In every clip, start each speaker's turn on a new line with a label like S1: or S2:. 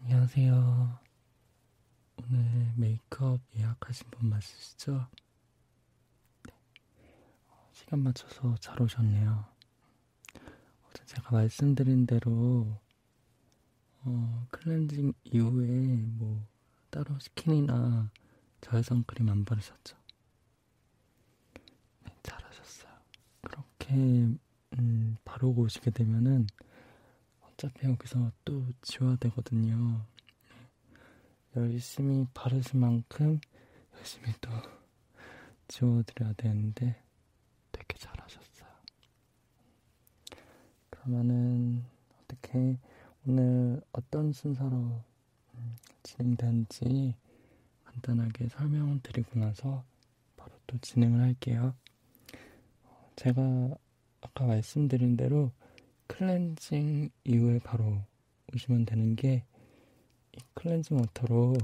S1: 안녕하세요. 오늘 메이크업 예약하신 분 맞으시죠? 네. 어, 시간 맞춰서 잘 오셨네요. 어제 제가 말씀드린 대로 어, 클렌징 이후에 뭐 따로 스킨이나 저혈성 크림 안 바르셨죠? 네, 잘하셨어요. 그렇게 음, 바르고 오시게 되면은 어차피 여기서 또 지워야 되거든요. 네. 열심히 바르신 만큼 열심히 또 지워드려야 되는데 되게 잘하셨어요. 그러면은 어떻게 오늘 어떤 순서로 진단지 간단하게 설명을 드리고 나서 바로 또 진행을 할게요. 어, 제가 아까 말씀드린 대로 클렌징 이후에 바로 오시면 되는 게 이 클렌징 워터로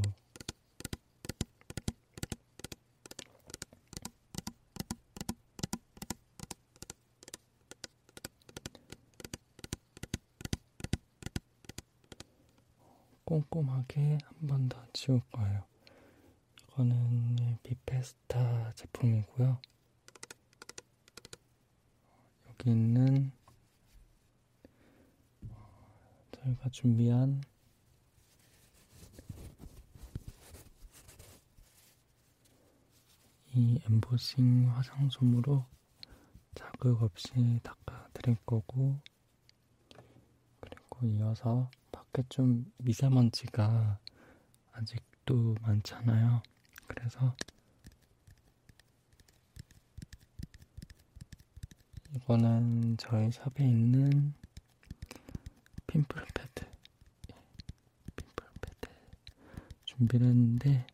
S1: 꼼꼼하게 한 번 더 치울 거예요. 이거는 네, 비페스타 제품이고요. 여기 있는 어, 저희가 준비한 이 엠보싱 화장솜으로 자극 없이 닦아드릴 거고, 그리고 이어서 밖에 좀 미세먼지가 아직도 많잖아요. 그래서 이거는 저희 샵에 있는 핀플 패드, 예, 핀플 패드 준비를 했는데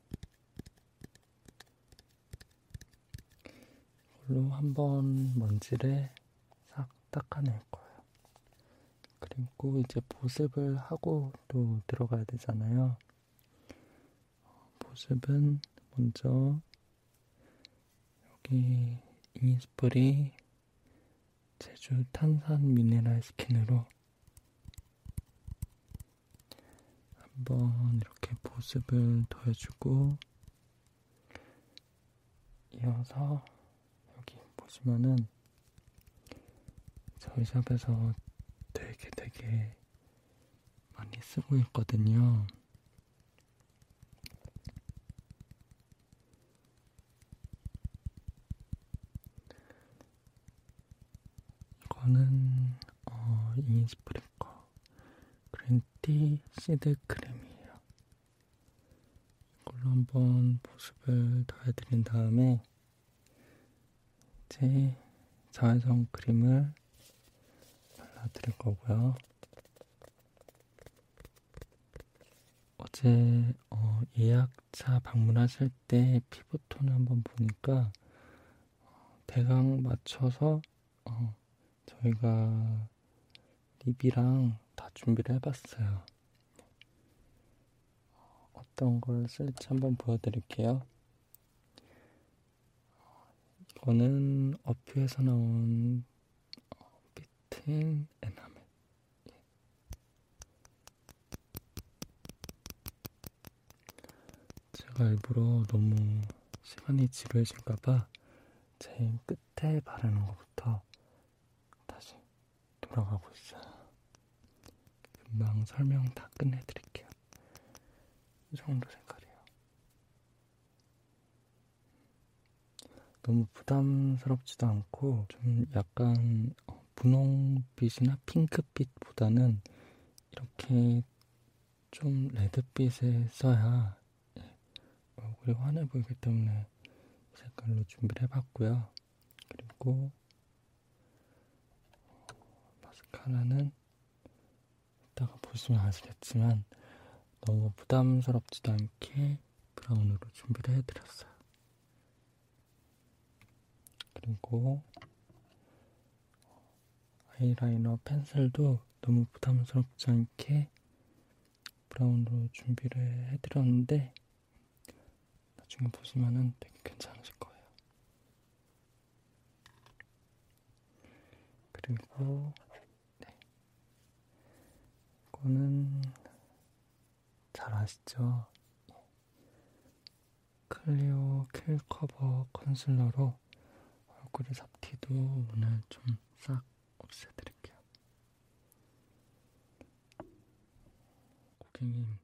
S1: 이걸로 한번 먼지를 싹 닦아낼 거예요. 그리고 이제 보습을 하고 또 들어가야 되잖아요. 보습은 먼저 여기 이니스프리 제주 탄산 미네랄 스킨으로 한번 이렇게 보습을 더해주고 이어서 여기 보시면은 저희 샵에서 되게 되게 많이 쓰고 있거든요. 이거는 어, 이니스프레이 거 그랜티 시드 크림이에요. 이걸로 한번 보습을 더해드린 다음에 이제 자외선 크림을 발라드릴 거고요. 어제 어, 예약차 방문하실 때 피부톤을 한번 보니까 어, 대강 맞춰서 어, 저희가 립이랑 다 준비를 해봤어요. 어떤 걸 쓸지 한번 보여드릴게요. 이거는 어퓨에서 나온 비트인 에나멜. 제가 일부러 너무 시간이 지루해질까봐 제일 끝에 바르는 것부터 다시 돌아가고 있어요. 금방 설명 다 끝내드릴게요. 이 정도 색깔이에요. 너무 부담스럽지도 않고 좀 약간 어, 분홍빛이나 핑크빛보다는 이렇게 좀 레드빛에 써야 예, 얼굴이 환해 보이기 때문에 색깔로 준비를 해봤고요. 그리고 어, 마스카라는 이따가 보시면 아시겠지만 너무 부담스럽지도 않게 브라운으로 준비를 해드렸어요. 그리고 아이라이너 펜슬도 너무 부담스럽지 않게 브라운으로 준비를 해드렸는데 나중에 보시면은 되게 괜찮으실 거예요. 그리고 네. 이거는 잘 아시죠? 클리오 킬 커버 컨실러로 얼굴에 잡티도 오늘 좀 싹 없애드릴게요. 고객님,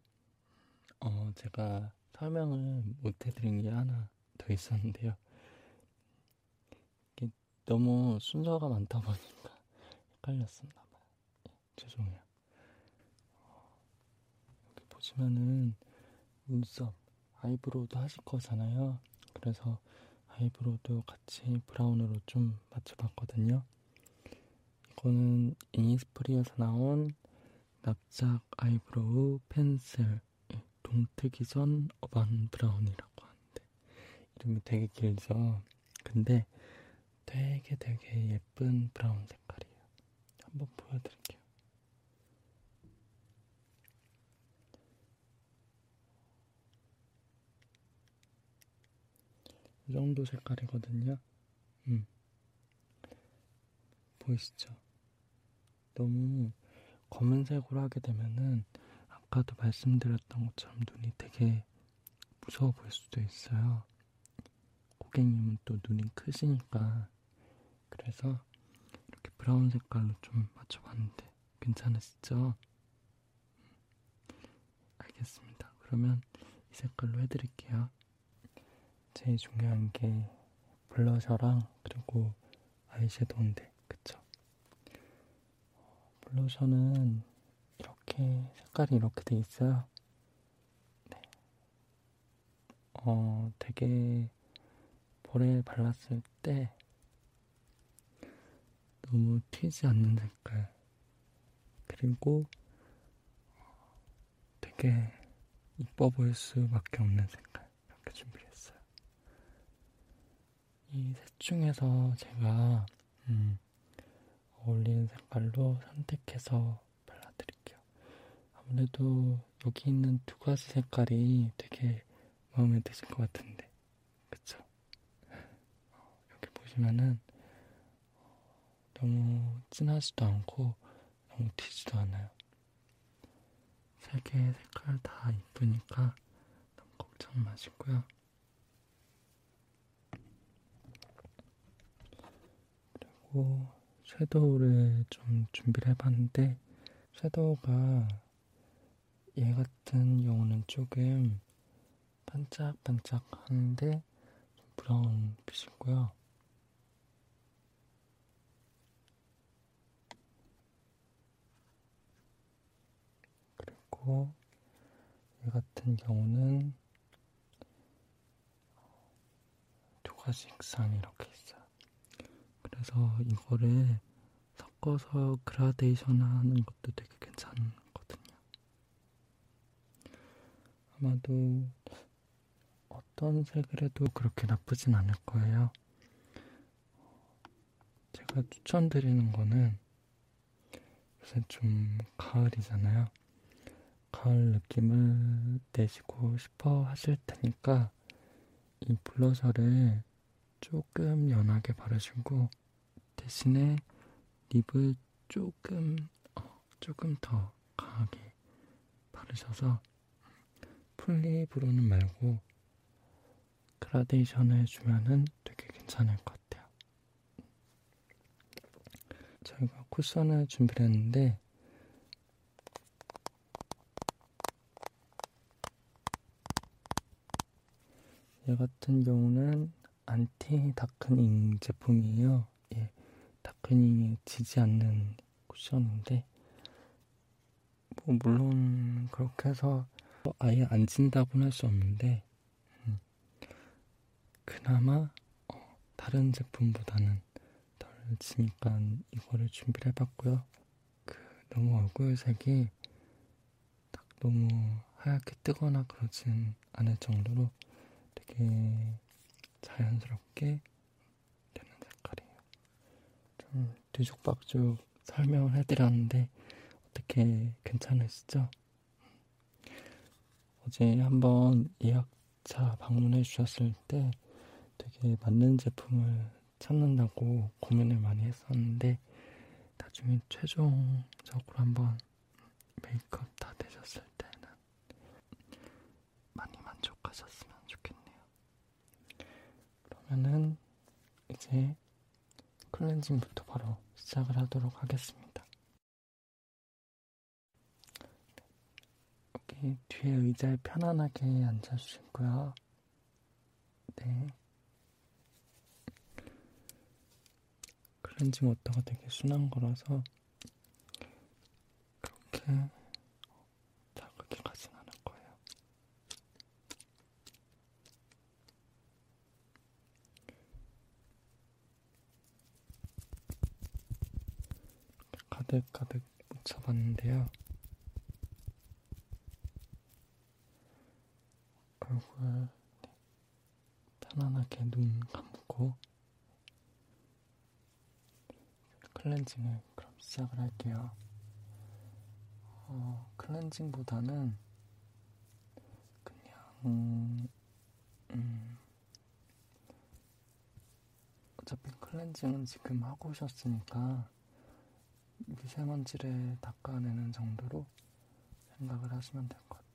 S1: 어, 제가 설명을 못해드린 게 하나 더 있었는데요. 이게 너무 순서가 많다 보니까 헷갈렸었나 봐요. 예, 죄송해요. 어, 여기 보시면은 눈썹, 아이브로우도 하실 거잖아요. 그래서 아이브로우도 같이 브라운으로 좀 맞춰봤거든요. 이거는 이니스프리에서 나온 납작 아이브로우 펜슬 예, 동트기 전 어반 브라운이라고 하는데 이름이 되게 길죠. 근데 되게 되게 예쁜 브라운 색깔이에요. 한번 보여드릴게요. 이 정도 색깔이거든요. 음. 보이시죠? 너무 검은색으로 하게 되면은 아까도 말씀드렸던 것처럼 눈이 되게 무서워 보일 수도 있어요. 고객님은 또 눈이 크시니까 그래서 이렇게 브라운 색깔로 좀 맞춰봤는데 괜찮으시죠? 음, 알겠습니다. 그러면 이 색깔로 해드릴게요. 제일 중요한 게 블러셔랑 그리고 아이섀도우인데, 그쵸? 블러셔는 이렇게 색깔이 이렇게 돼 있어요. 네. 어, 되게 볼에 발랐을 때 너무 튀지 않는 색깔. 그리고 되게 이뻐 보일 수밖에 없는 색깔. 이렇게 준비를 했어요. 이셋 중에서 제가, 음, 어울리는 색깔로 선택해서 발라드릴게요. 아무래도 여기 있는 두 가지 색깔이 되게 마음에 드실 것 같은데, 그쵸? 이렇게 어, 보시면은 어, 너무 진하지도 않고 너무 튀지도 않아요. 세 개의 색깔 다 이쁘니까 너무 걱정 마시고요. 그리고 섀도우를 좀 준비를 해봤는데 섀도우가 얘 같은 경우는 조금 반짝반짝하는데 브라운 빛이고요. 그리고 얘 같은 경우는 두 가지 색상이 이렇게 있어요. 그래서 이거를 섞어서 그라데이션 하는 것도 되게 괜찮거든요. 아마도 어떤 색을 해도 그렇게 나쁘진 않을 거예요. 제가 추천드리는 거는 요새 좀 가을이잖아요. 가을 느낌을 내시고 싶어 하실 테니까 이 블러셔를 조금 연하게 바르시고 대신에 립을 조금 어, 조금 더 강하게 바르셔서 풀립으로는 말고 그라데이션을 주면은 되게 괜찮을 것 같아요. 저희가 쿠션을 준비를 했는데 얘 같은 경우는 안티 다크닝 제품이에요. 예, 다크닝이 지지 않는 쿠션인데, 뭐 물론 그렇게 해서 아예 안 진다고는 할 수 없는데, 음, 그나마 어, 다른 제품보다는 덜 치니까 이거를 준비를 해봤고요. 그 너무 얼굴색이 딱 너무 하얗게 뜨거나 그러진 않을 정도로 되게 자연스럽게 되는 색깔이에요. 좀 뒤죽박죽 설명을 해드렸는데 어떻게 괜찮으시죠? 어제 한번 예약차 방문해 주셨을 때 되게 맞는 제품을 찾는다고 고민을 많이 했었는데 나중에 최종적으로 한번 메이크업 다 되셨을 때는 많이 만족하셨으면 좋겠네요. 그러면은 이제 클렌징부터 바로 시작을 하도록 하겠습니다. 여기 뒤에 의자에 편안하게 앉아주시고요. 네. 클렌징 워터가 되게 순한 거라서 그렇게 자극이 가진 않을 거예요. 가득가득 잡았는데요. 얼굴 편안하게 눈 감고 클렌징을 그럼 시작을 할게요. 어, 클렌징보다는 그냥 음, 어차피 클렌징은 지금 하고 오셨으니까 미세먼지를 닦아내는 정도로 생각을 하시면 될 것 같아요.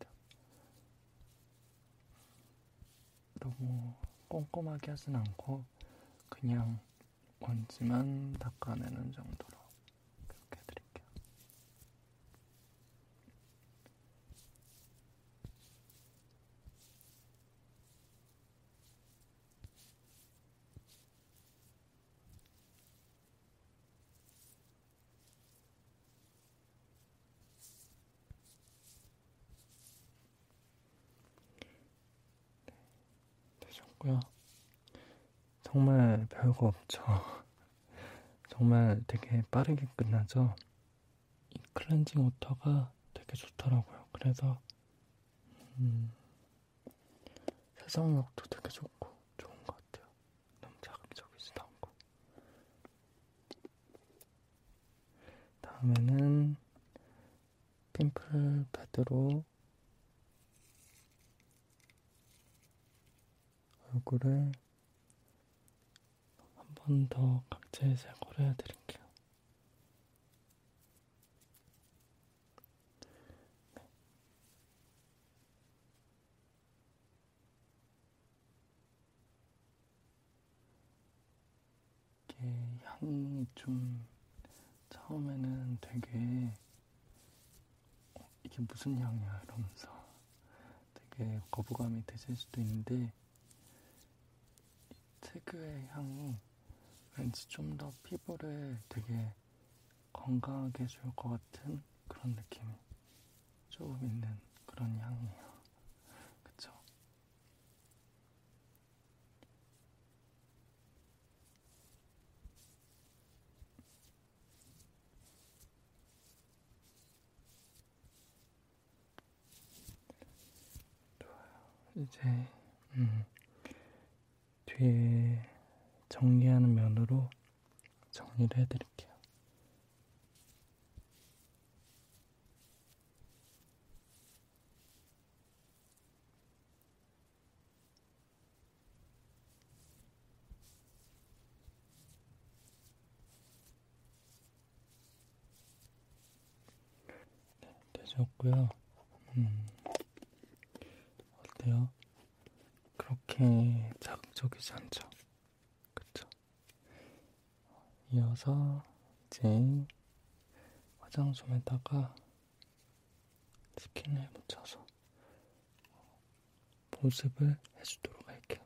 S1: 너무 꼼꼼하게 하진 않고 그냥 먼지만 닦아내는 정도로 그렇게 해드릴게요. 되셨고요. 정말 별거 없죠. 정말 되게 빠르게 끝나죠. 이 클렌징 워터가 되게 좋더라고요. 그래서 음, 세상역도 되게 좋고 좋은 것 같아요. 너무 자극적이지도 않고. 다음에는 핀플 패드로 얼굴을 한 번 더 각질 제거를 해드릴게요. 네. 이게 향이 좀 처음에는 되게 어, 이게 무슨 향이야 이러면서 되게 거부감이 드실 수도 있는데 이 특유의 향이 왠지 좀 더 피부를 되게 건강하게 해줄 것 같은 그런 느낌이 조금 있는 그런 향이에요. 그쵸? 좋아요. 이제 음, 뒤에 정리하는 면으로 정리를 해드릴게요. 네, 되셨고요. 음, 어때요? 그렇게 자극적이지 않죠? 그쵸? 이어서 이제 화장솜에다가 스킨을 묻혀서 보습을 해주도록 할게요.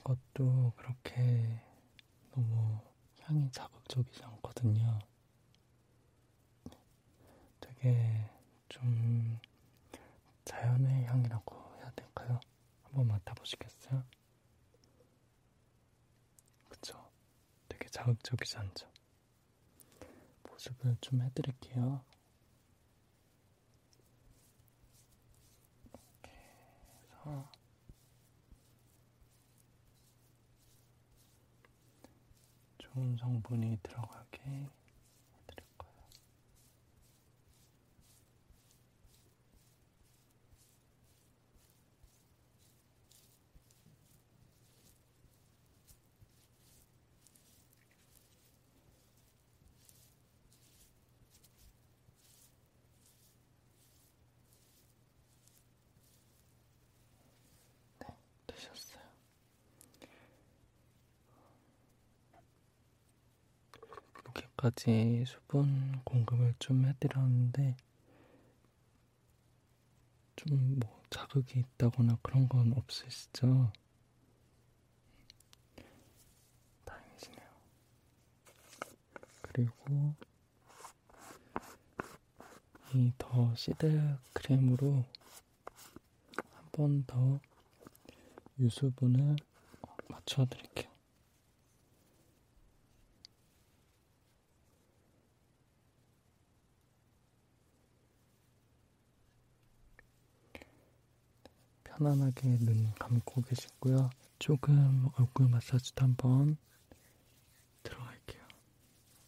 S1: 이것도 그렇게 너무 향이 자극적이지 않거든요. 되게 좀 자연의 향이라고 해야 될까요? 한번 맡아보시겠어요? 그쵸? 되게 자극적이지 않죠? 보습을 좀 해드릴게요. 이렇게 해서 좋은 성분이 들어가게 해드리고 네, 되셨어요. 여기까지 수분 공급을 좀 해드렸는데 좀 뭐 자극이 있다거나 그런 건 없으시죠? 다행이시네요. 그리고 이 더 시드 크림으로 한번더 유수분을 맞춰드릴게요. 편안하게 눈 감고 계시고요. 조금 얼굴 마사지도 한번 들어갈게요.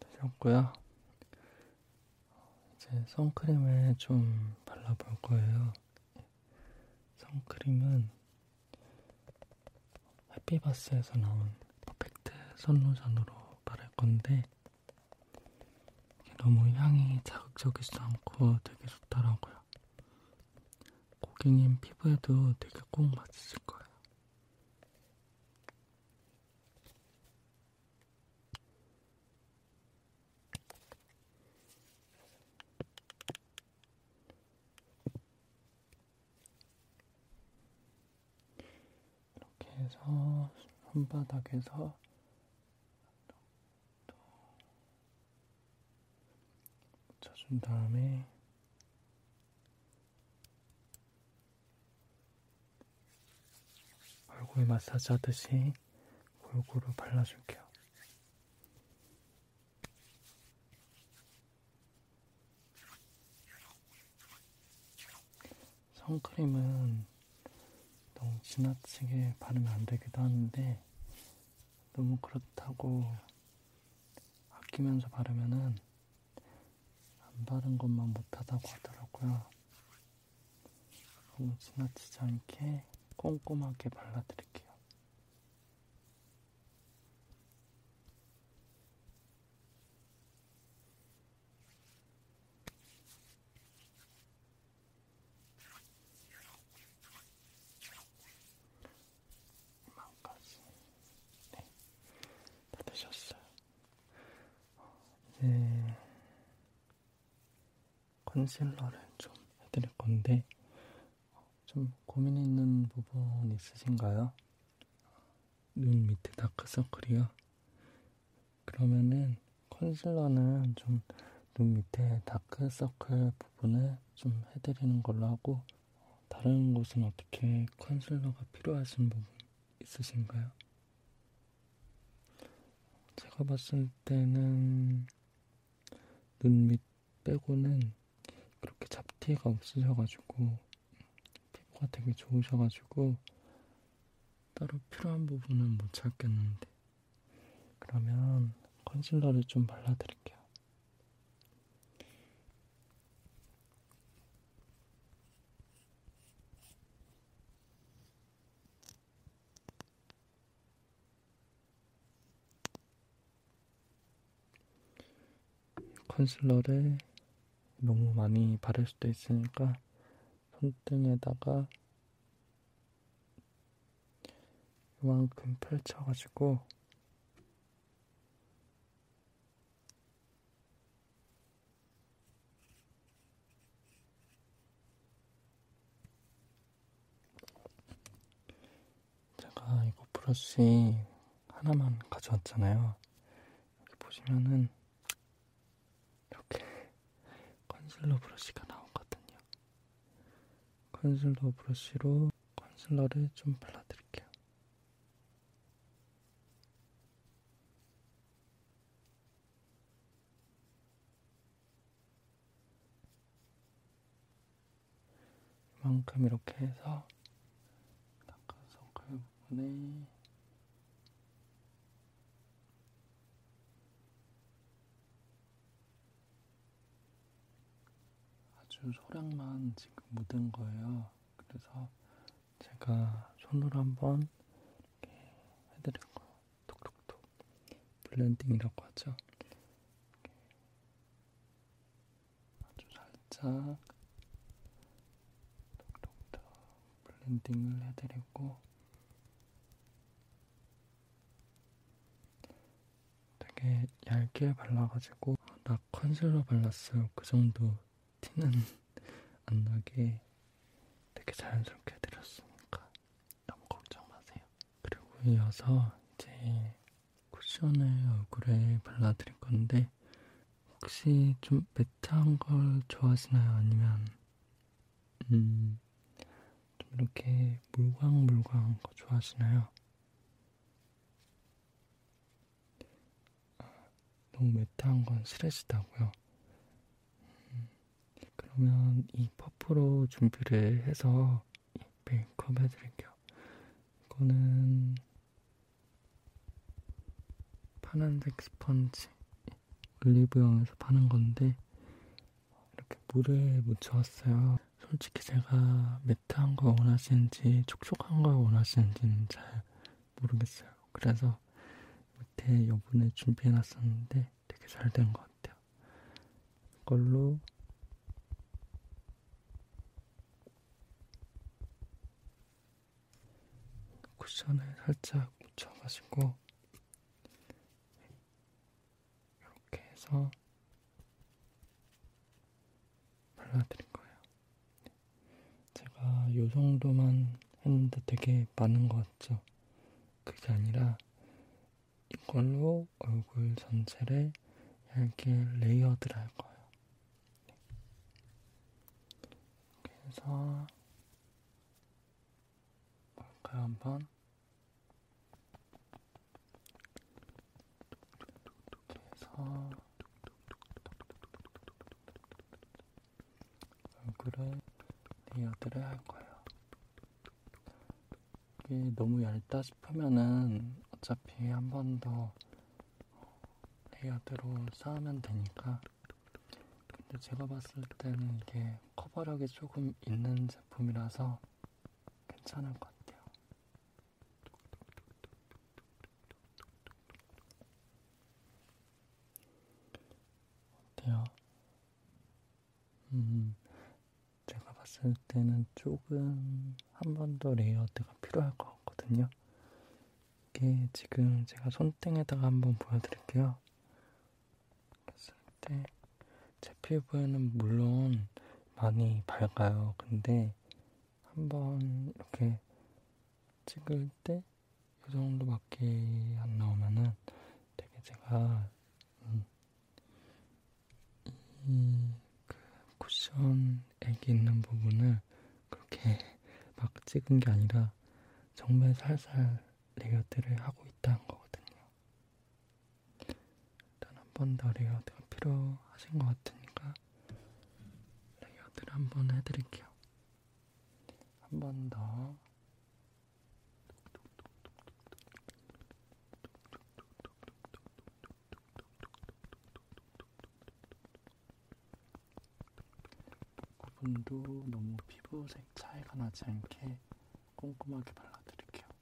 S1: 되셨고요. 이제 선크림을 좀 발라볼 거예요. 선크림은 해피바스에서 나온 퍼펙트 선로션으로 바를 건데 너무 향이 자극적이지도 않고 되게 좋더라고요. 고객님 피부에도 되게 꼭 맞으실 거예요. 이렇게 해서 손바닥에서 또 젖은 다음에 얼굴 마사지 하듯이 골고루 발라줄게요. 선크림은 너무 지나치게 바르면 안 되기도 하는데 너무 그렇다고 아끼면서 바르면은 안 바른 것만 못하다고 하더라고요. 너무 지나치지 않게 꼼꼼하게 발라드릴게요. 이만까지 네, 다 되셨어요. 어, 이제 컨실러를 좀 해드릴 건데 어, 좀 고민 있는 부분 있으신가요? 눈 밑에 다크서클이요? 그러면은 컨실러는 좀 눈 밑에 다크서클 부분을 좀 해드리는 걸로 하고 다른 곳은 어떻게 컨실러가 필요하신 부분 있으신가요? 제가 봤을 때는 눈 밑 빼고는 그렇게 잡티가 없으셔가지고 피부가 되게 좋으셔가지고 따로 필요한 부분은 못 찾겠는데 그러면 컨실러를 좀 발라드릴게요. 컨실러를 너무 많이 바를 수도 있으니까 손등에다가 이만큼 펼쳐가지고 제가 이거 브러쉬 하나만 가져왔잖아요. 여기 보시면은 이렇게 컨실러 브러쉬가 나오거든요. 컨실러 브러쉬로 컨실러를 좀 발라드릴게요. 이만큼 이렇게 해서 닦아서 그 부분에 아주 소량만 지금 묻은 거예요. 그래서 제가 손으로 한번 이렇게 해드린 거예요. 톡톡톡. 블렌딩이라고 하죠. 아주 살짝 톡톡톡 블렌딩을 해드리고 되게 얇게 발라가지고 나 컨실러 발랐어요. 그 정도 티는 안 나게 되게 자연스럽게 해드렸으니까 너무 걱정 마세요. 그리고 이어서 이제 쿠션을 얼굴에 발라드릴 건데 혹시 좀 매트한 걸 좋아하시나요? 아니면 음, 좀 이렇게 물광물광한 거 좋아하시나요? 아, 너무 메타한 건 스트레스다고요. 음, 그러면 이 퍼프로 준비를 해서 메이크업 해드릴게요. 이거는 파란색 스펀지 올리브영에서 파는 건데 이렇게 물에 묻혀왔어요. 솔직히 제가 매트한 걸 원하시는지 촉촉한 걸 원하시는지는 잘 모르겠어요. 그래서 밑에 여분을 준비해놨었는데 되게 잘 된 것 같아요. 이걸로 쿠션을 살짝 묻혀가지고 이렇게 해서 발라드릴 거예요. 네. 제가 요 정도만 했는데 되게 많은 것 같죠? 그게 아니라 이걸로 얼굴 전체를 얇게 레이어드를 할 거예요. 그래서 네. 볼까요 한번 해서 얼굴에 레이어드를 네 할 거예요. 이게 너무 얇다 싶으면은 어차피 한 번 더 레이어드로 네 쌓으면 되니까. 근데 제가 봤을 때는 이게 커버력이 조금 있는 제품이라서 괜찮을 것 같아요. 어때요? 음, 제가 봤을 때는 조금 한 번 더 레이어드가 필요할 것 같거든요. 이게 지금 제가 손등에다가 한번 보여드릴게요. 봤을 때 제 피부에는 물론 많이 밝아요. 근데 한번 이렇게 찍을 때 이 정도밖에 안 나오면은 되게 제가 음, 이그 쿠션 액이 있는 부분을 그렇게 막 찍은 게 아니라 정말 살살 레이어드를 하고 있다는 거거든요. 일단 한 번 더 레이어드가 필요하신 것 같으니까 레이어드를 한 번 해드릴게요. 한 번 더. 그분도 너무 피부색 차이가 나지 않게 꼼꼼하게 발라드릴게요.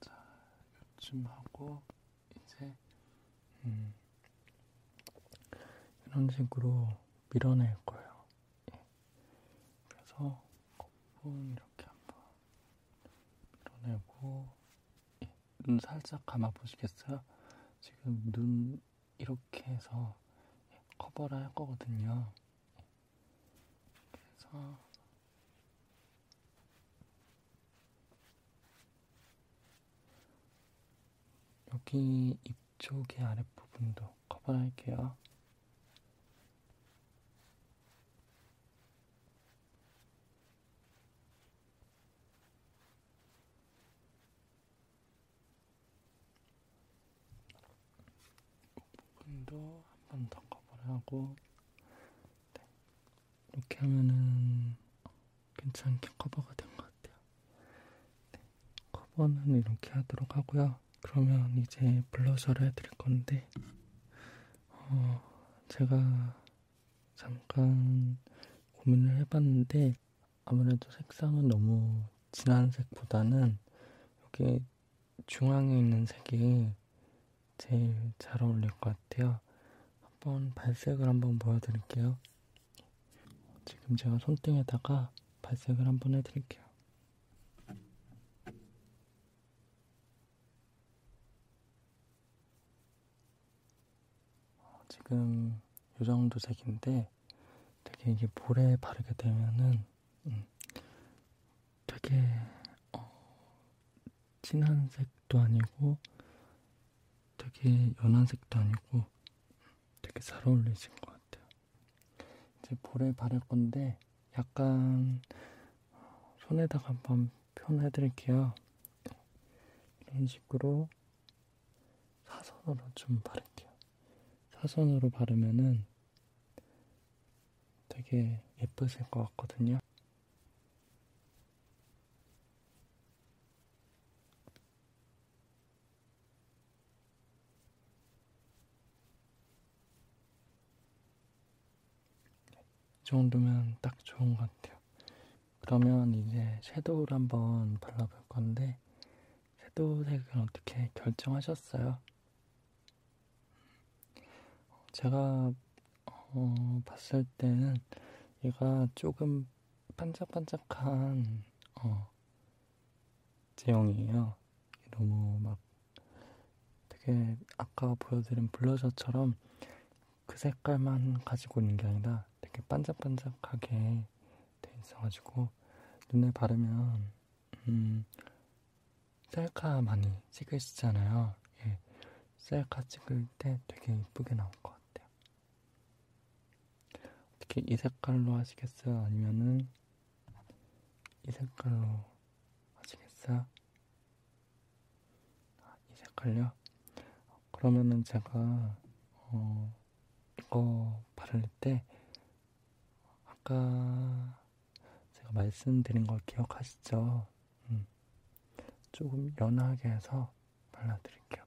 S1: 자, 요쯤 하고 이제 음, 이런 식으로 밀어낼 거예요. 예. 그래서 거품 이렇게 한번 밀어내고 예. 눈 살짝 감아 보시겠어요? 지금 눈 이렇게 해서 커버를 할 거거든요. 그래서 여기 입 쪽의 아랫부분도 커버를 할게요. 부분도 한 번 더 커버를 하고 네. 이렇게 하면은 괜찮게 커버가 된 것 같아요. 네. 커버는 이렇게 하도록 하고요. 그러면 이제 블러셔를 해드릴 건데 어, 제가 잠깐 고민을 해봤는데 아무래도 색상은 너무 진한 색보다는 여기 중앙에 있는 색이 제일 잘 어울릴 것 같아요. 한번 발색을 한번 보여드릴게요. 지금 제가 손등에다가 발색을 한번 해드릴게요. 어, 지금 이 정도 색인데 되게 이게 볼에 바르게 되면은 음, 되게 어, 진한 색도 아니고 되게 연한 색도 아니고 되게 잘 어울리신 것 같아요. 이제 볼에 바를 건데 약간 어, 손에다가 한번 표현해드릴게요. 이런 식으로 사선으로 좀 바를게요. 사선으로 바르면은 되게 예쁘실 것 같거든요. 이 정도면 딱 좋은 것 같아요. 그러면 이제 섀도우를 한번 발라볼 건데 섀도우 색은 어떻게 결정하셨어요? 제가 어, 봤을 때는 얘가 조금 반짝반짝한 어, 제형이에요. 너무 막 되게 아까 보여드린 블러셔처럼 그 색깔만 가지고 있는 게 아니라 되게 반짝반짝하게 돼 있어가지고 눈에 바르면 음, 셀카 많이 찍으시잖아요. 예, 셀카 찍을 때 되게 이쁘게 나올 것 같아요. 어떻게 이 색깔로 하시겠어요? 아니면은 이 색깔로 하시겠어요? 아, 이 색깔요? 그러면은 제가 어, 이거 바를 때 아까 제가 말씀드린 걸 기억하시죠? 음, 조금 연하게 해서 발라드릴게요.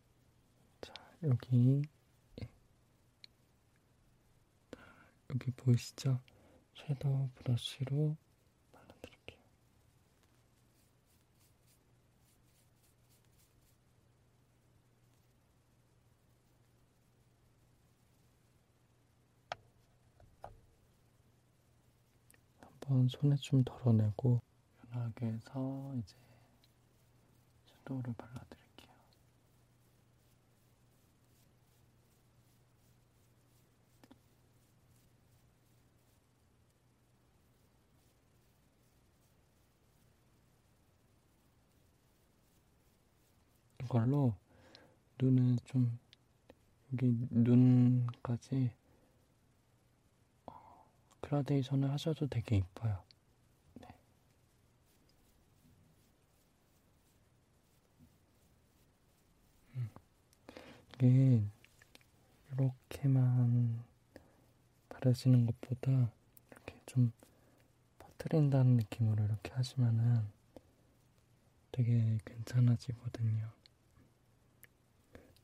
S1: 자, 여기 예. 여기 보이시죠? 섀도우 브러쉬로 발라드릴게요. 한번 손에 좀 덜어내고 연하게 해서 이제 섀도우를 발라드릴게요. 이걸로 눈을 좀 여기 눈까지 어, 그라데이션을 하셔도 되게 이뻐요. 네. 음. 이게 이렇게만 바르시는 것보다 이렇게 좀 퍼트린다는 느낌으로 이렇게 하시면은 되게 괜찮아지거든요.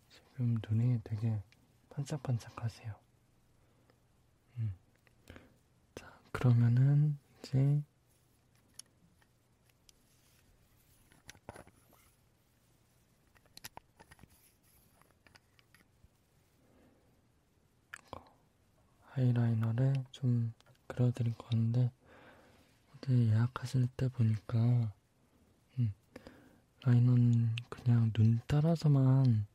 S1: 지금 눈이 되게 반짝반짝하세요. 음. 자, 그러면은 이제 하이라이너를 좀 그려드릴 건데 어제 예약하실 때 보니까 음, 라이너는 그냥 눈 따라서만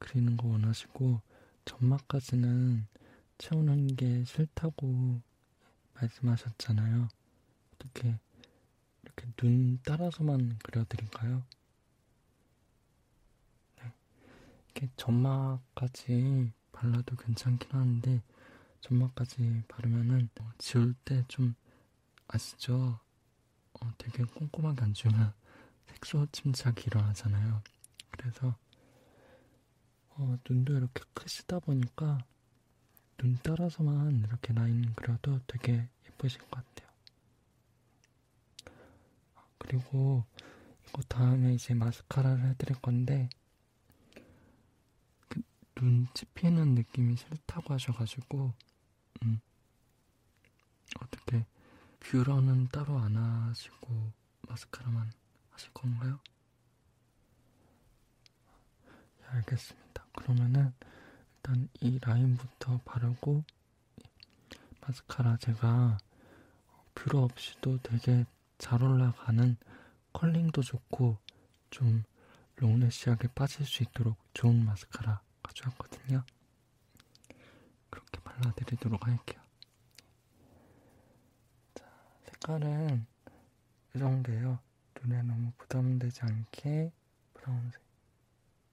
S1: 그리는 거 원하시고 점막까지는 채우는 게 싫다고 말씀하셨잖아요. 어떻게 이렇게 눈 따라서만 그려드릴까요? 네. 이렇게 점막까지 발라도 괜찮긴 하는데 점막까지 바르면은 어, 지울 때 좀 아시죠? 어, 되게 꼼꼼하게 안 지우면 색소 침착이 일어나잖아요. 그래서 어, 눈도 이렇게 크시다 보니까 눈 따라서만 이렇게 라인 그려도 되게 예쁘실 것 같아요. 그리고 이거 다음에 이제 마스카라를 해드릴 건데 그눈 찝히는 느낌이 싫다고 하셔가지고 음. 어떻게 뷰러는 따로 안 하시고 마스카라만 하실 건가요? 예, 알겠습니다. 그러면은 일단 이 라인부터 바르고 마스카라 제가 뷰러 없이도 되게 잘 올라가는 컬링도 좋고 좀 롱래시하게 빠질 수 있도록 좋은 마스카라 가져왔거든요. 그렇게 발라드리도록 할게요. 자, 색깔은 이 정도예요. 눈에 너무 부담되지 않게 브라운색.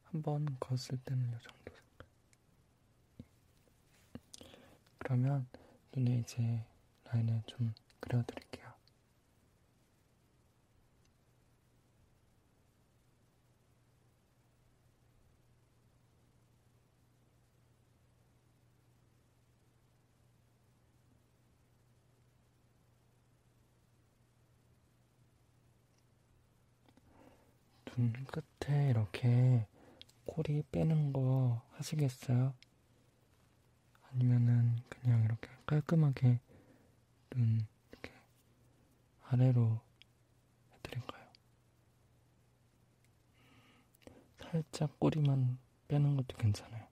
S1: 한번 걷을 때는 요 정도. 그러면 눈에 이제 라인을 좀 그려드릴게요. 눈 끝에 이렇게 꼬리 빼는 거 하시겠어요? 아니면은 그냥 이렇게 깔끔하게 눈 이렇게 아래로 해드릴까요? 살짝 꼬리만 빼는 것도 괜찮아요.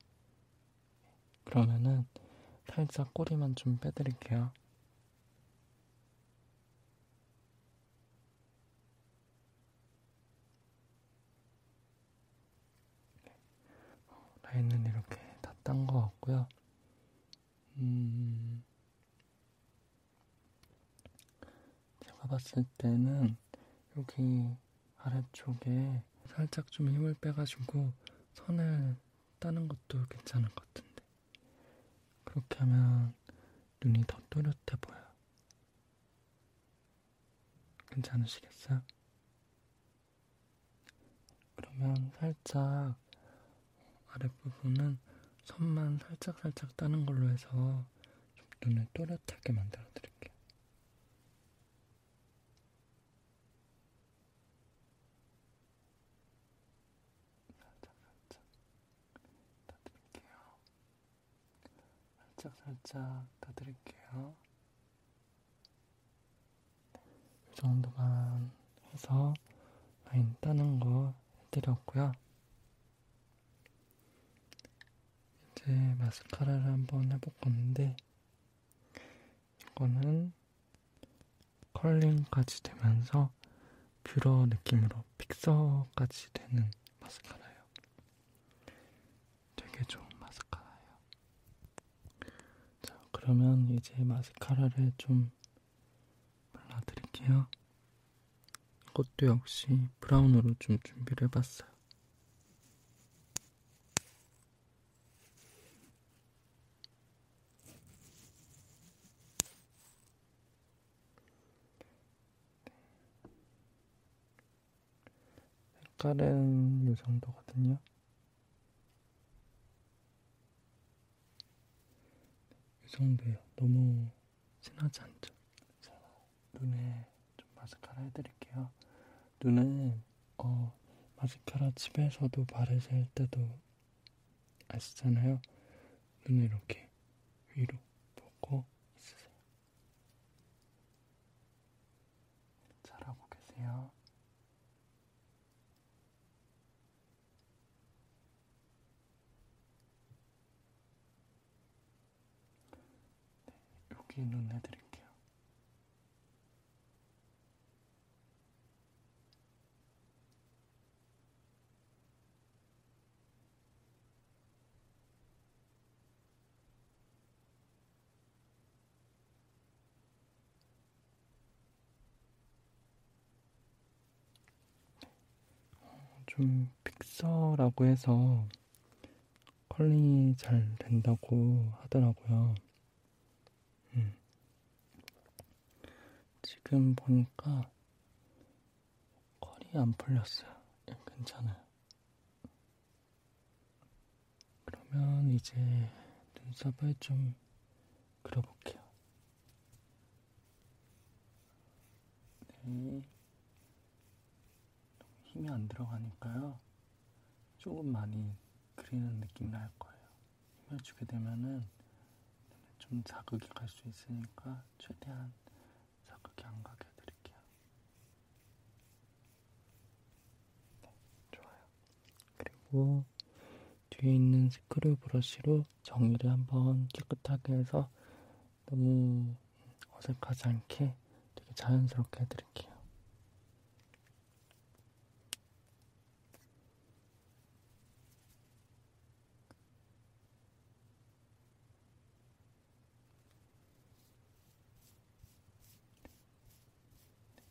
S1: 그러면은 살짝 꼬리만 좀 빼드릴게요. 라인은 이렇게 다 딴 것 같고요. 음, 제가 봤을 때는 여기 아래쪽에 살짝 좀 힘을 빼가지고 선을 따는 것도 괜찮은 것 같은데. 그렇게 하면 눈이 더 또렷해 보여요. 괜찮으시겠어요? 그러면 살짝 아랫부분은 선만 살짝살짝 따는 걸로 해서 좀 눈을 또렷하게 만들어 드릴게요. 살짝살짝 다 드릴게요. 살짝살짝 다 드릴게요. 이 정도만 해서 라인 따는 거 해드렸고요. 이제 마스카라를 한번 해볼 건데 이거는 컬링까지 되면서 뷰러 느낌으로 픽서까지 되는 마스카라예요. 되게 좋은 마스카라예요. 자, 그러면 이제 마스카라를 좀 발라드릴게요. 이것도 역시 브라운으로 좀 준비를 해봤어요. 색깔은 이 정도거든요. 이 정도예요. 너무 진하지 않죠? 자, 눈에 좀 마스카라 해드릴게요. 눈은 어 마스카라 집에서도 바르실 때도 아시잖아요? 눈을 이렇게 위로 보고 있으세요. 잘하고 계세요. 네, 여기 눈 해드릴게요. 좀 픽서라고 해서 컬링이 잘 된다고 하더라고요. 음. 지금 보니까 컬이 안 풀렸어요. 예, 괜찮아요. 그러면 이제 눈썹을 좀 그려볼게요. 네. 힘이 안 들어가니까요. 조금 많이 그리는 느낌 날 거예요. 힘을 주게 되면은 좀 자극이 갈 수 있으니까 최대한 자극이 안 가게 해드릴게요. 네, 좋아요. 그리고 뒤에 있는 스크류 브러쉬로 정리를 한번 깨끗하게 해서 너무 어색하지 않게 되게 자연스럽게 해드릴게요.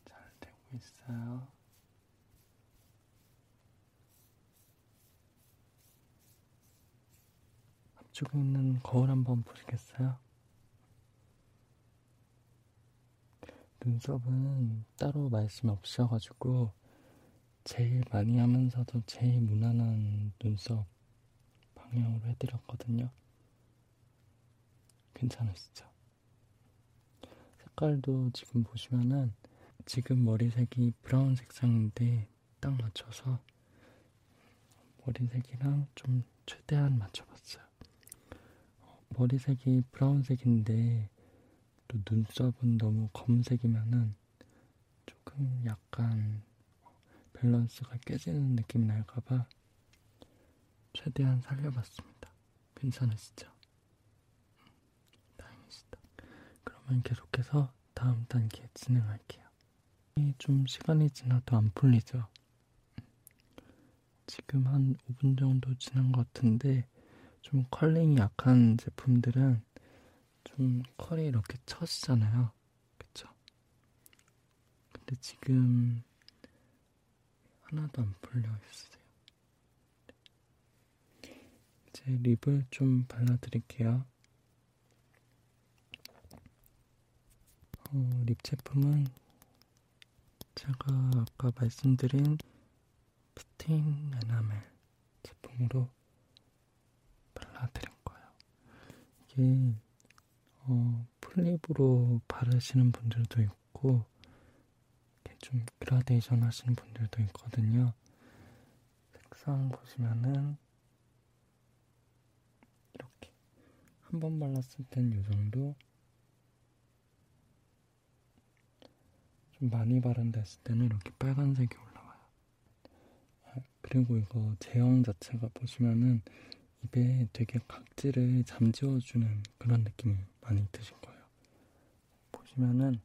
S1: 잘 되고 있어요. 앞쪽에 있는 거울 한번 보시겠어요? 눈썹은 따로 말씀이 없으셔가지고 제일 많이 하면서도 제일 무난한 눈썹 방향으로 해드렸거든요. 괜찮으시죠? 색깔도 지금 보시면은 지금 머리색이 브라운 색상인데 딱 맞춰서 머리색이랑 좀 최대한 맞춰봤어요. 어, 머리색이 브라운색인데 또 눈썹은 너무 검색이면은 조금 약간 밸런스가 깨지는 느낌이 날까봐 최대한 살려봤습니다. 괜찮으시죠? 음, 다행이시다. 그러면 계속해서 다음 단계 진행할게요. 좀 시간이 지나도 안 풀리죠? 음. 지금 한 5분 정도 지난 것 같은데 좀 컬링이 약한 제품들은 좀 컬이 이렇게 처지잖아요. 그쵸? 근데 지금 하나도 안 풀려 있어요. 이제 립을 좀 발라드릴게요. 어, 립 제품은 제가 아까 말씀드린 스팅 에나멜 제품으로 발라드릴 거예요. 이게 어, 플립으로 바르시는 분들도 있고 이렇게 좀 그라데이션 하시는 분들도 있거든요. 색상 보시면은 이렇게 한 번 발랐을 땐이 정도 좀 많이 바른댔을 때는 이렇게 빨간색이 올라와요. 아, 그리고 이거 제형 자체가 보시면은 입에 되게 각질을 잠재워주는 그런 느낌이 많이 드실 거예요. 보시면은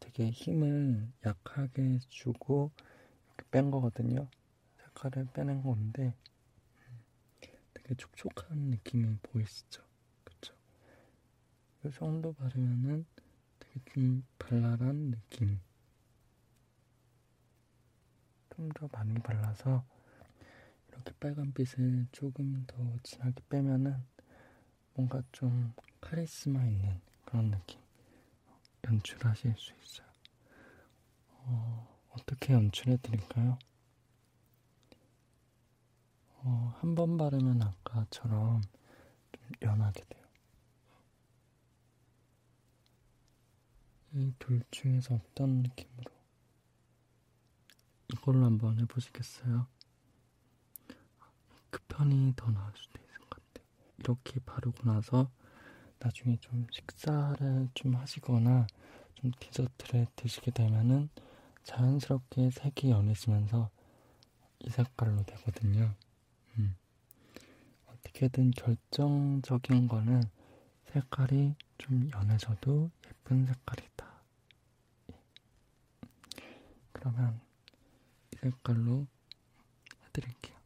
S1: 되게 힘을 약하게 주고 이렇게 뺀 거거든요. 색깔을 빼낸 건데 음, 되게 촉촉한 느낌이 보이시죠? 그쵸? 이 그 정도 바르면은 되게 좀 발랄한 느낌 좀 더 많이 발라서 이렇게 빨간빛을 조금 더 진하게 빼면은 뭔가 좀 카리스마 있는 그런 느낌 연출하실 수 있어요. 어, 어떻게 연출해 드릴까요? 어, 한 번 바르면 아까처럼 좀 연하게 돼요. 이 둘 중에서 어떤 느낌으로? 이걸로 한번 해보시겠어요? 아, 그 편이 더 나을 수도 있을 것 같아요. 이렇게 바르고 나서 나중에 좀 식사를 좀 하시거나 좀 디저트를 드시게 되면은 자연스럽게 색이 연해지면서 이 색깔로 되거든요. 음. 어떻게든 결정적인 거는 색깔이 좀 연해져도 예쁜 색깔이다. 예. 그러면 이 색깔로 해드릴게요.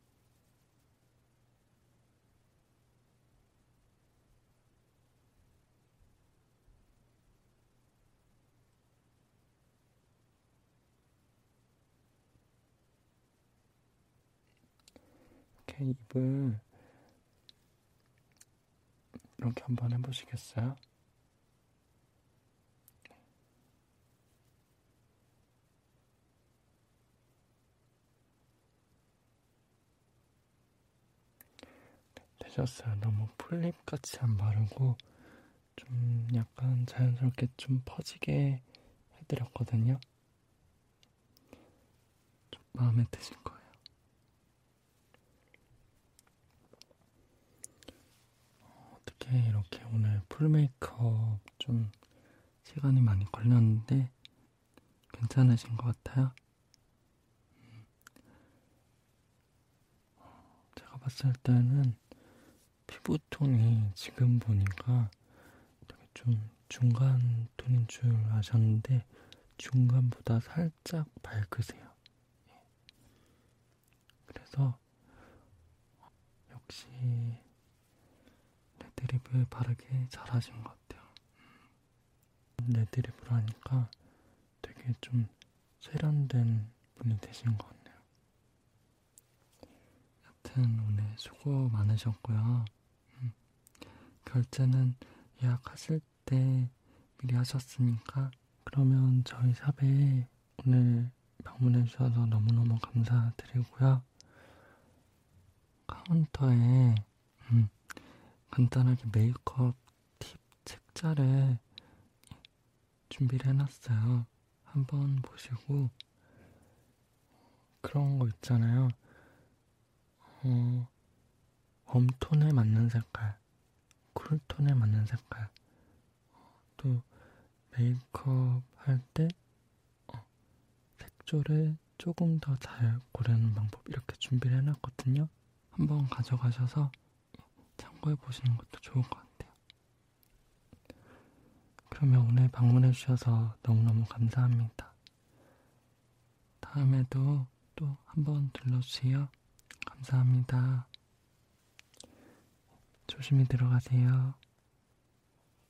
S1: 이렇게 입을 이렇게 한번 해보시겠어요? 되셨어요. 네, 너무 풀립같이 안 바르고 좀 약간 자연스럽게 좀 퍼지게 해드렸거든요. 좀 마음에 드실 거예요. 어떻게 이렇게 오늘 풀메이크업 좀 시간이 많이 걸렸는데 괜찮으신 것 같아요. 음. 제가 봤을 때는 피부톤이 지금 보니까 되게 좀 중간 톤인 줄 아셨는데 중간보다 살짝 밝으세요. 예. 그래서 역시 레드립을 바르게 잘하신 것 같아요. 레드립을 음. 하니까 되게 좀 세련된 분이 되신 것 같네요. 여튼 오늘 수고 많으셨고요. 음, 결제는 예약하실 때 미리 하셨으니까 그러면 저희 샵에 오늘 방문해 주셔서 너무너무 감사드리고요. 카운터에 음, 간단하게 메이크업 팁 책자를 준비를 해놨어요. 한번 보시고 그런 거 있잖아요. 어, 웜톤에 맞는 색깔, 쿨톤에 맞는 색깔, 또 메이크업 할때 색조를 어, 조금 더 잘 고르는 방법 이렇게 준비를 해놨거든요. 한번 가져가셔서 참고해 보시는 것도 좋을 것 같아요. 그러면 오늘 방문해 주셔서 너무너무 감사합니다. 다음에도 또 한번 들러주세요. 감사합니다. 조심히 들어가세요.